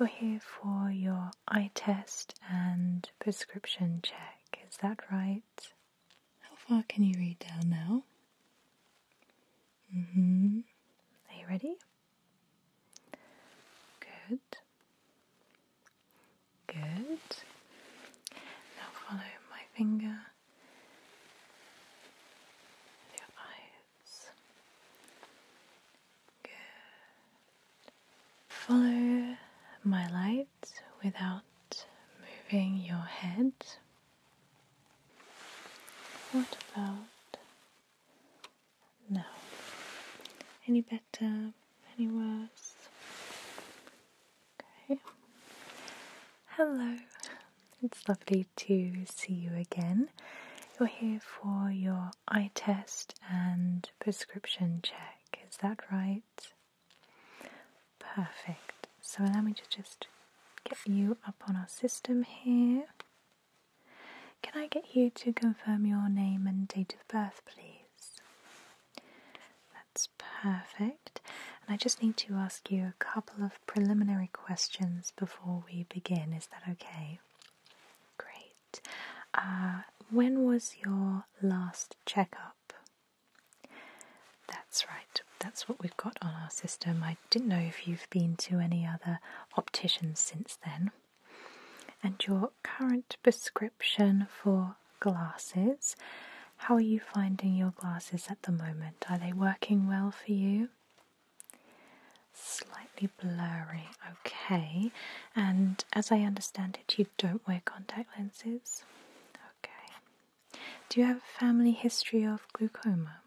You're here for your eye test and prescription check, is that right? How far can you read down now? Mm hmm. Are you ready? Good. Good. Now follow my finger your eyes. Good. Follow my light without moving your head. What about now? Any better? Any worse? Okay. Hello. It's lovely to see you again. You're here for your eye test and prescription check, is that right? Perfect. So allow me to just get you up on our system here. Can I get you to confirm your name and date of birth, please? That's perfect. And I just need to ask you a couple of preliminary questions before we begin. Is that okay? Great. Uh, when was your last checkup? That's right, that's what we've got on our system. I didn't know if you've been to any other opticians since then. And your current prescription for glasses, how are you finding your glasses at the moment? Are they working well for you? Slightly blurry, okay. And as I understand it, you don't wear contact lenses? Okay. Do you have a family history of glaucoma?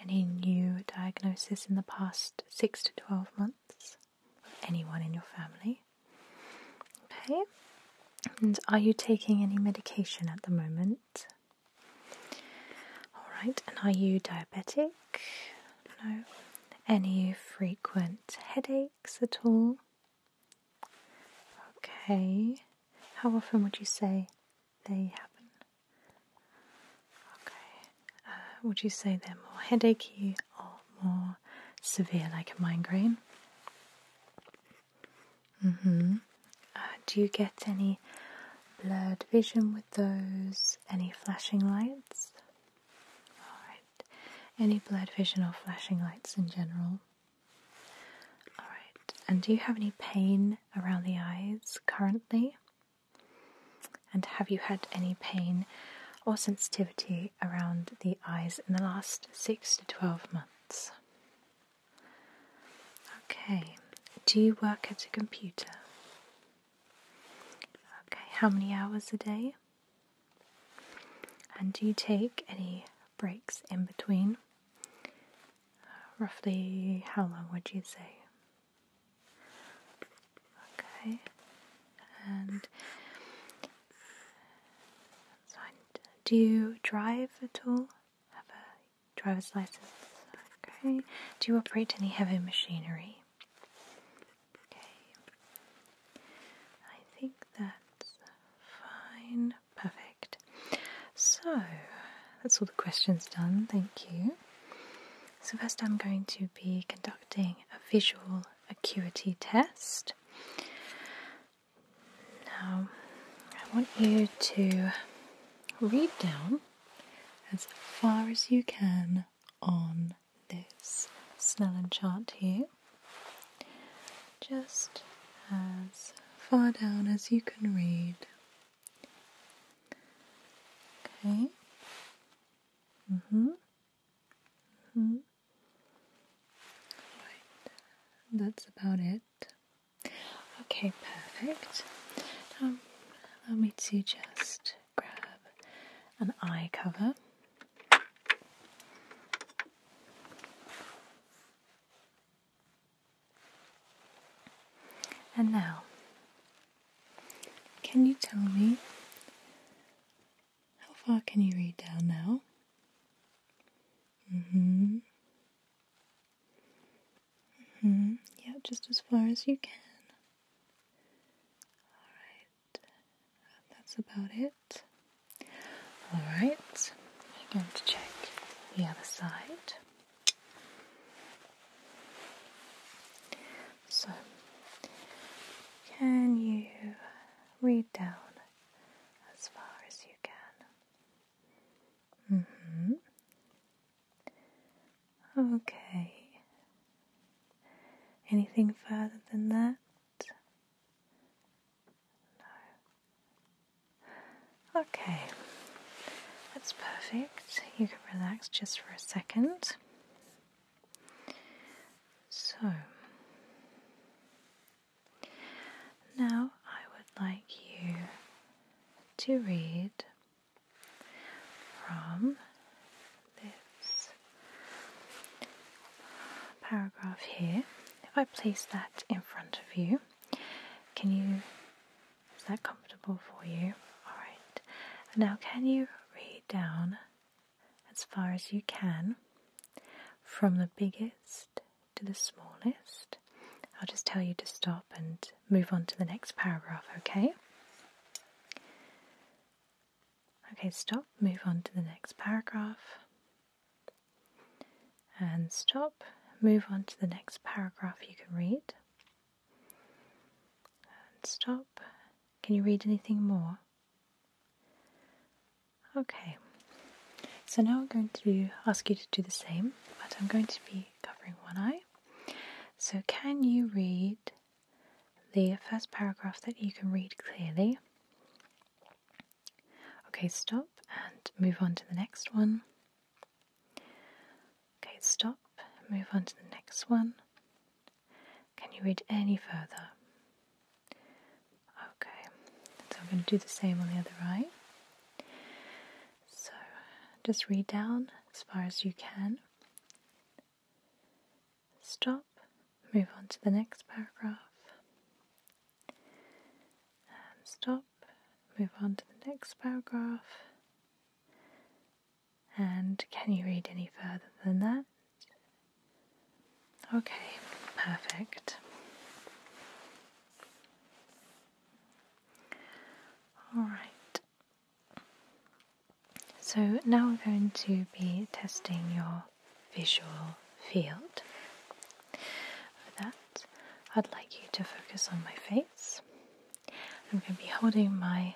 Any new diagnosis in the past 6 to 12 months? Anyone in your family? Okay. And are you taking any medication at the moment? Alright, and are you diabetic? No. Any frequent headaches at all? Okay. How often would you say they happen? Okay. Uh, would you say they're more headachy or more severe, like a migraine? Mm hmm. do you get any blurred vision those any flashing lights? Alright. Any blurred vision or flashing lights in general? Alright. And do you have any pain around the eyes currently? And have you had any pain or sensitivity around the eyes in the last 6 to 12 months? Okay. Do you work at a computer? Okay, how many hours a day? And do you take any breaks in between? Uh, roughly how long would you say? Okay, and do you drive at all? Have driver's license. Okay. Do you operate any heavy machinery? Okay. I think that's fine. Perfect. So, that's all the questions done. Thank you. So, first, I'm going to be conducting a visual acuity test. Now, I want you to read down as far as you can on this Snellen chart here, just as far down as you can read. Okay. Mm-hmm. Mm-hmm. Right. That's about it. Okay, perfect. Now um, allow me to just grab an eye cover. And now, can you tell me how far can you read down now? hmm Mm -hmm. Yeah, just as far as you can. Alright, that's about it. Alright, I'm going to check the other side. So, can you read down as far as you can? Mm hmm. Okay. Anything further than that? No. Okay. That's perfect. You can relax just for a second. So, now I would like you to read from this paragraph here. If I place that in front of you, can you? Is that comfortable for you? Alright. Now, can you read down as far as you can from the biggest to the smallest. I'll just tell you to stop and move on to the next paragraph, okay? Okay, stop, move on to the next paragraph. And stop, move on to the next paragraph you can read. And stop. Can you read anything more? Okay. So now I'm going to ask you to do the same, but I'm going to be covering one eye. So, can you read the first paragraph that you can read clearly? Okay, stop and move on to the next one. Okay, stop, move on to the next one. Can you read any further? Okay, so I'm going to do the same on the other eye. So just read down as far as you can. Stop, move on to the next paragraph. And stop, move on to the next paragraph. And can you read any further than that? Okay, perfect. Alright, so now we're going to be testing your visual field. For that, I'd like you to focus on my face. I'm going to be holding my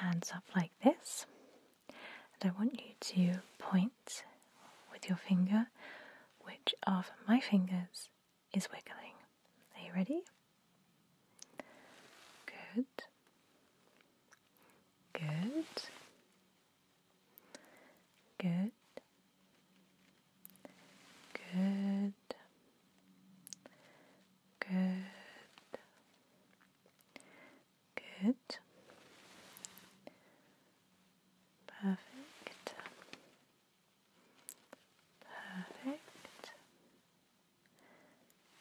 hands up like this, and I want you to point with your finger which of my fingers is wiggling. Are you ready? Good. Good. Good. Good. Good. Good. Perfect. Perfect.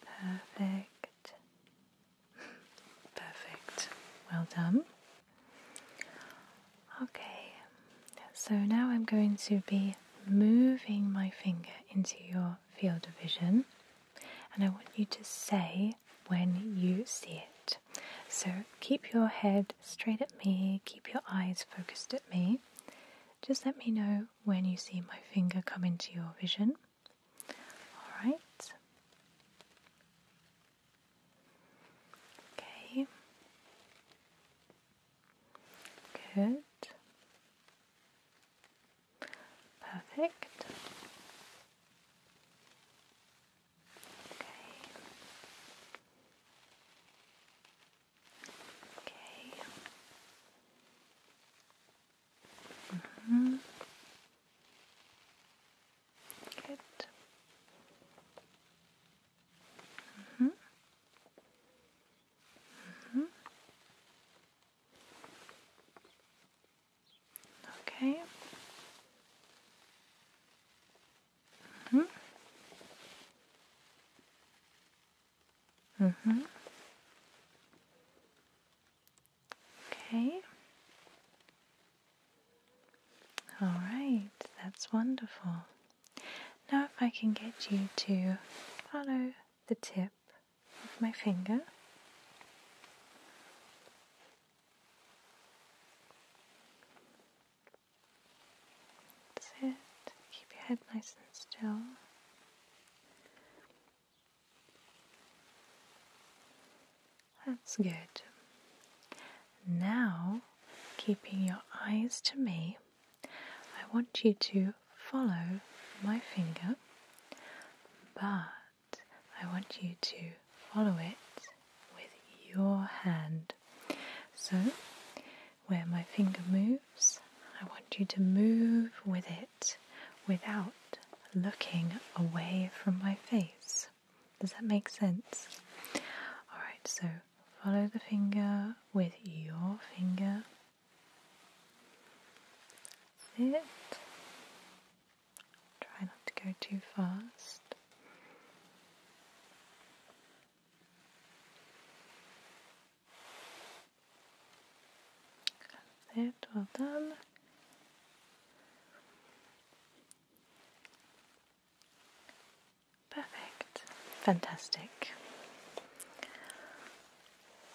Perfect. Perfect. Well done. Okay, so now I'm going to be moving my finger into your field of vision, and I want you to say when you see it. So keep your head straight at me, keep your eyes focused at me. Just let me know when you see my finger come into your vision. All right. Okay. Good. Perfect. Okay. Okay. Mm hmm Good. Mm-hmm. Mm-hmm. mm-hmm. Okay hmm Mm-hmm. Okay. All right, that's wonderful. Now, if I can get you to follow the tip of my finger. That's Keep your head nice and still. That's good. Now, keeping your eyes to me, I want you to follow my finger, but I want you to follow it with your hand. So, where my finger moves, I want you to move with it without looking away from my face. Does that make sense? Alright, so follow the finger with your finger. That's Try not to go too fast. Got it, done. Perfect, fantastic.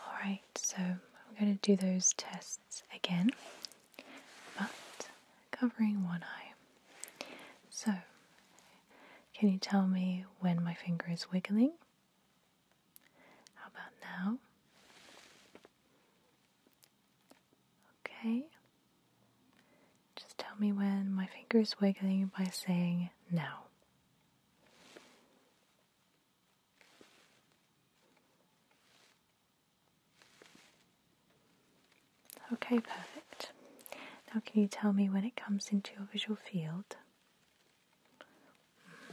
Alright, so I'm going to do those tests again but covering one eye. So, can you tell me when my finger is wiggling? How about now? Okay. Just tell me when my finger is wiggling by saying now. Okay, perfect. Now, can you tell me when it comes into your visual field?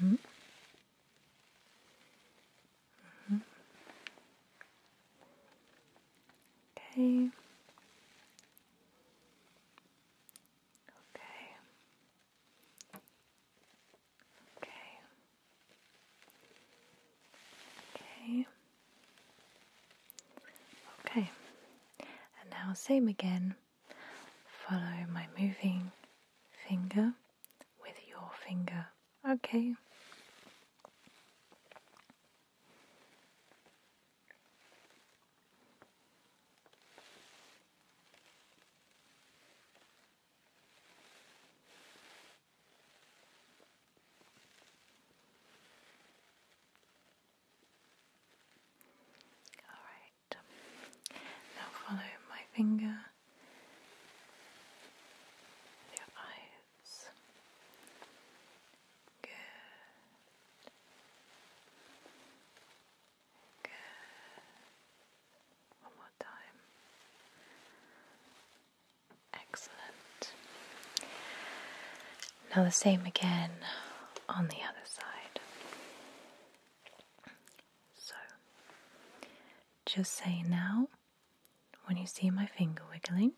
Mm-hmm. Mm-hmm. Okay. Okay. Okay. Okay. Okay, and now same again. Follow my moving finger with your finger. Okay. Alright, now follow my finger your eyes. Good. Good. One more time. Excellent. Now the same again on the other side. So, just say now when you see my finger wiggling.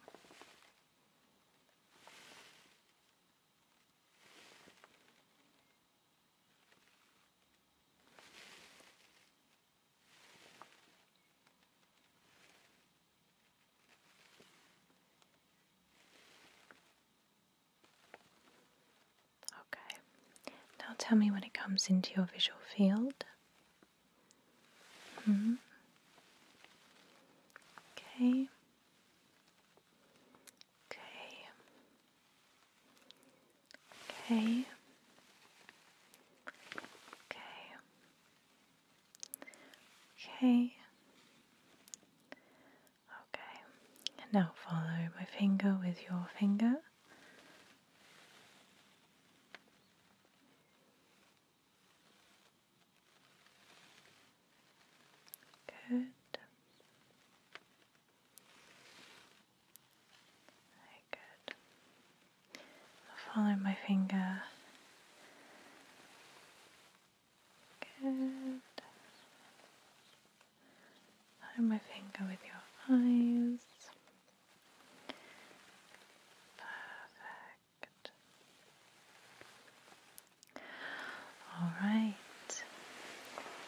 Okay, now tell me when it comes into your visual field. -hmm. Okay. Okay. Okay. Okay. Okay. Okay. And now follow my finger with your finger. Good. Very good. Follow my finger. Good. Follow my finger with your eyes. Perfect. All right.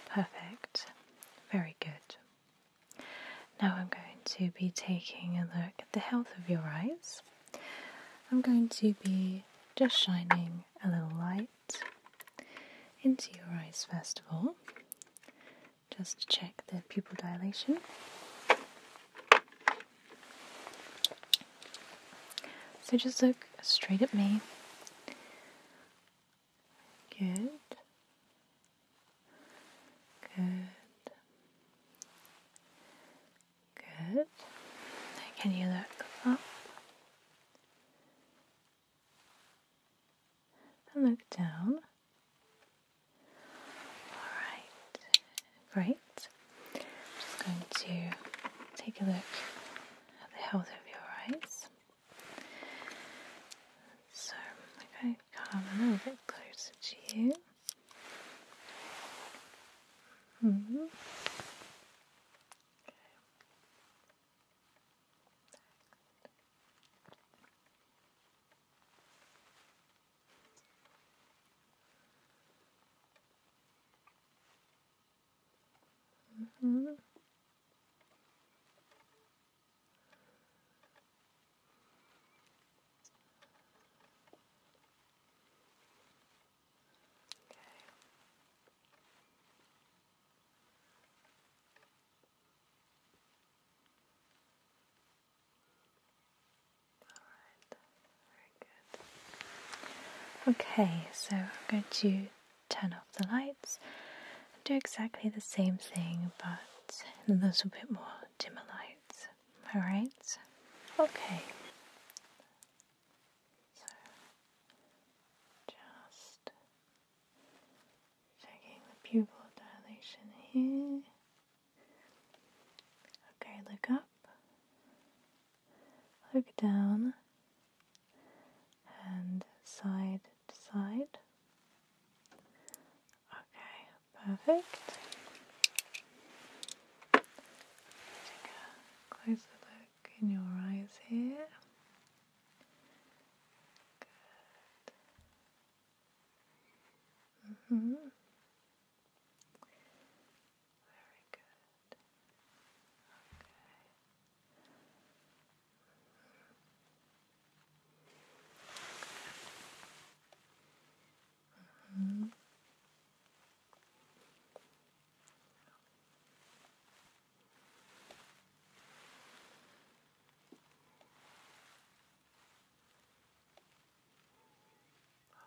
Perfect. Very good. Now I'm going to be taking a look at the health of your eyes. I'm going to be just shining a little light into your eyes first of all, just check the pupil dilation. So just look straight at me. Good. Good. Good. Can you look up and look down? All right. Great. I'm just going to take a look at the health of your eyes. So I'm going to come a little bit closer to you. Mm -hmm. okay. Mm mm-hmm. Okay. All right. Very good. Okay, so I'm going to turn off the lights and do exactly the same thing, but lights and a little bit more dimmer lights. Alright? Okay. So, just checking the pupil dilation here. Okay, look up, look down, and side to side. Okay, Perfect. Take a closer look in your eyes here. Good. Mm-hmm. Very good. Okay. Mm-hmm.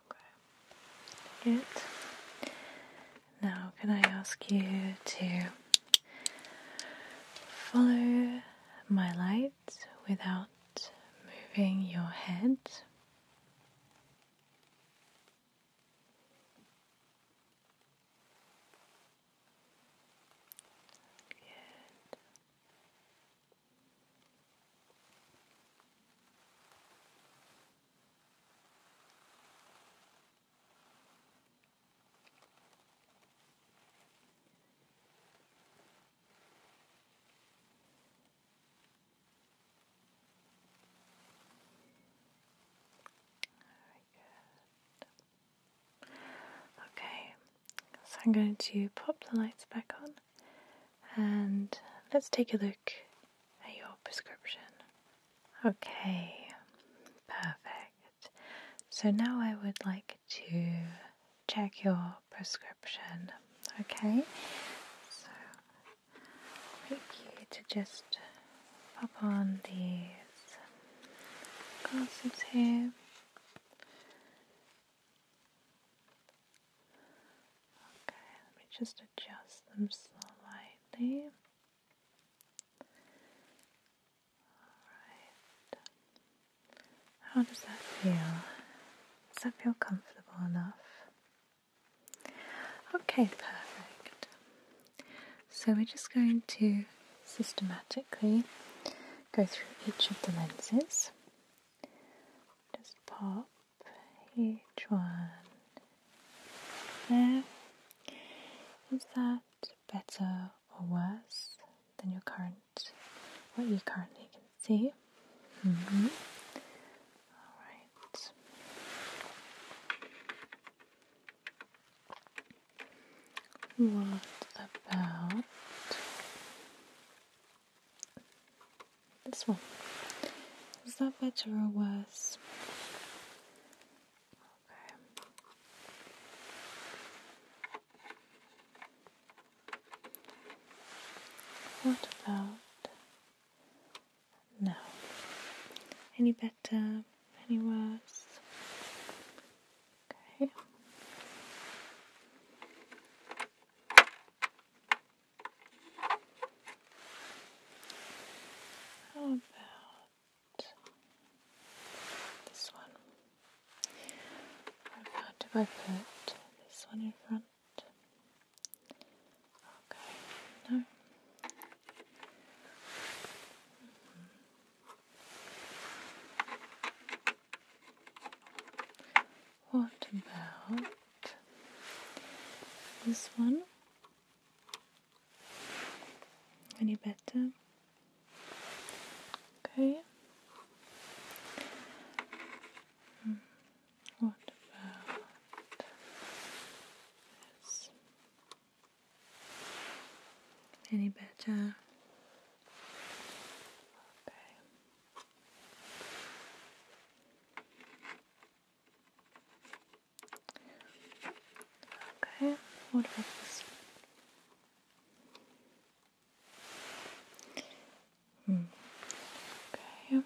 Okay. Good. Now, can I ask you to follow my light? without moving your head. Good. Okay, so I'm going to pop the lights back on and let's take a look at your prescription. Okay, perfect. So now I would like to check your prescription. Okay, so I'd like you to just pop on these glasses here. Okay, let me just adjust them slightly. Alright. How does that feel? Does that feel comfortable enough? Okay, perfect. So we're just going to systematically go through each of the lenses. Just pop each one there. Is that better or worse than your current, what you currently can see. Mm-hmm. All right. What about this one? Is that better or worse? What about now? Any better? Any worse? Okay. How about this one. What if I put this one in front? Okay, no. What about this one? Any better? Okay. Mm. What about this? Any better? Okay. Okay, what about this? Hmm. Okay.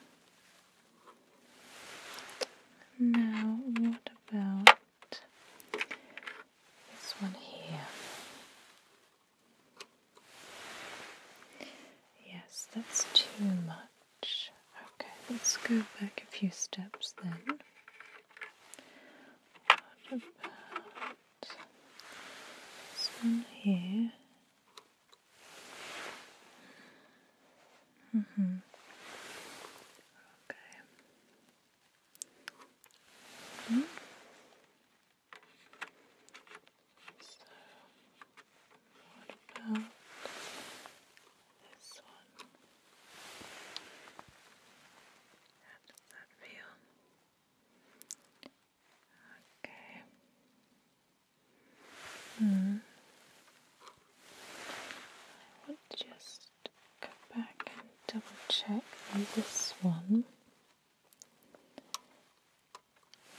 Now, what about this one here? Yes, that's too much. Okay, let's go back a few steps then. About this one here. Mm hmm Okay. -hmm. So what about this one? does that feel? Okay. Hmm. I will just go back and double check this one.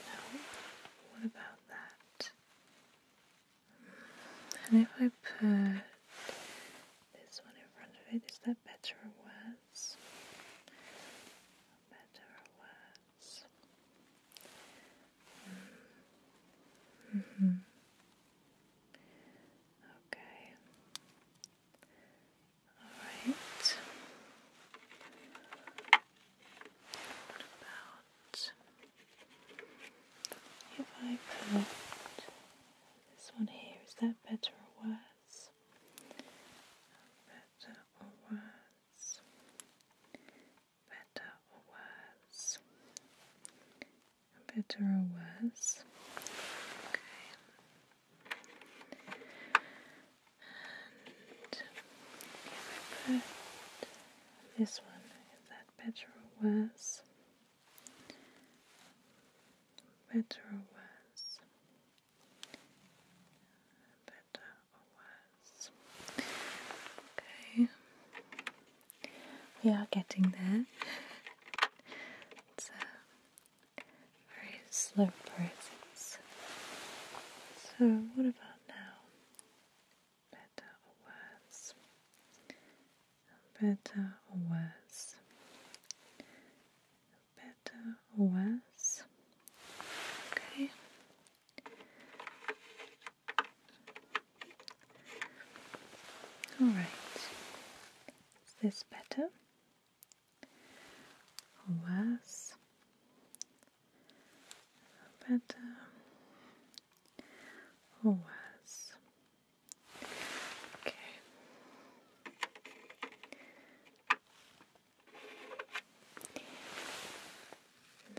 No, about that? And if I put this one in front of it is that better or worse? Better or worse? Mm -hmm. Okay. Alright. What about if I put this one here, is that better or worse? Better or worse? Better or worse? Better or worse? Okay. And this one, is that better or worse? Better or worse? Better or worse? Okay. We are getting there. It's a very slow process. So, what about now? Better or worse? better or worse? Better or worse? Okay. All right. Is this better or worse? Better or worse? Okay.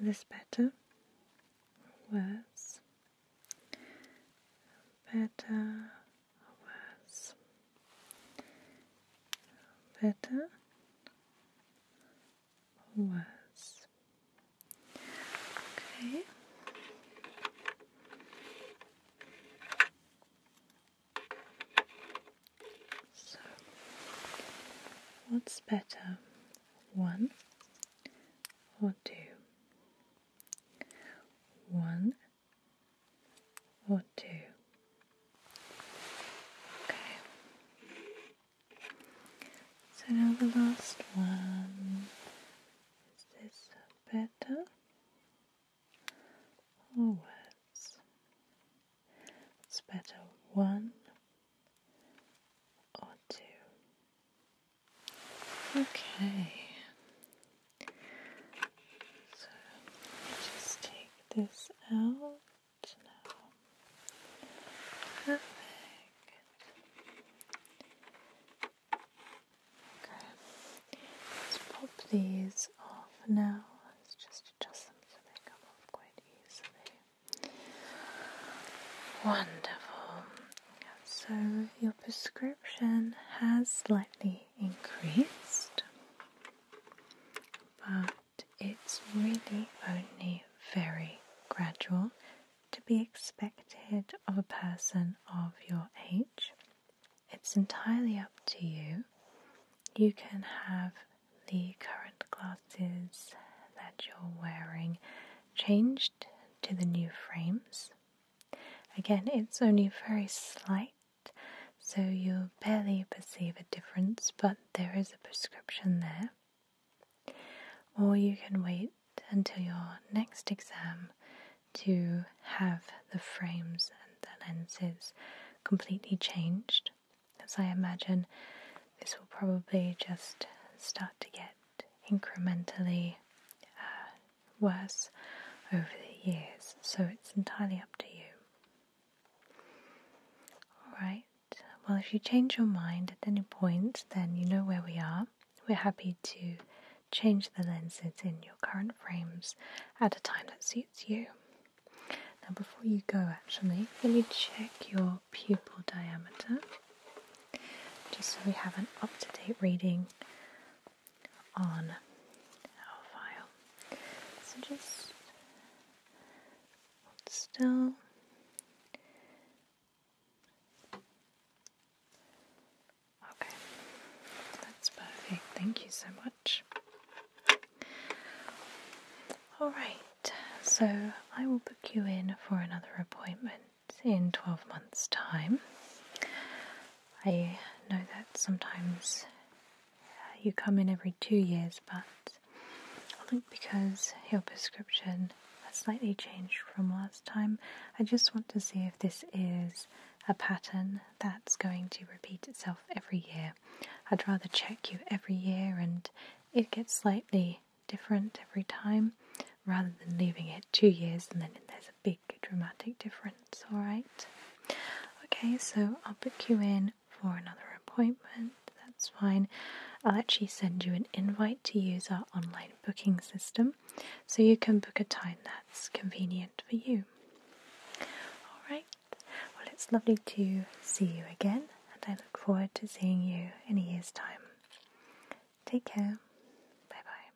This better, worse, better, worse, better, worse. Okay. So, what's better, one or two? One or two? Okay. So now the last one. Is this better or oh, worse? It's better one or two. Okay. So just take this out now. Perfect. Okay, let's pop these off now. Let's just adjust them so they come off quite easily. Wonderful. So your prescription has slightly increased, but it's really only very gradual to be expected of a person of your age. It's entirely up to you. You can have the current glasses that you're wearing changed to the new frames. Again, it's only very slight, so you'll barely perceive a difference, but there is a prescription there. Or you can wait until your next exam to have the frames and the lenses completely changed, as I imagine this will probably just start to get incrementally uh, worse over the years, so it's entirely up to you. Alright, well, if you change your mind at any point, then you know where we are. We're happy to change the lenses in your current frames at a time that suits you. Now, before you go, actually, let me check your pupil diameter just so we have an up to date reading on our file. So just hold still Okay, that's perfect. Thank you so much. Alright, so I will book you in for another appointment in 12 months' time. I know that sometimes uh, you come in every two years, but I think because your prescription slightly changed from last time. I just want to see if this is a pattern that's going to repeat itself every year. I'd rather check you every year and it gets slightly different every time rather than leaving it two years and then there's a big dramatic difference, alright? Okay, so I'll book you in for another appointment, that's fine. I'll actually send you an invite to use our online booking system, so you can book a time that's convenient for you. Alright, well, it's lovely to see you again, and I look forward to seeing you in a year's time. Take care. Bye bye.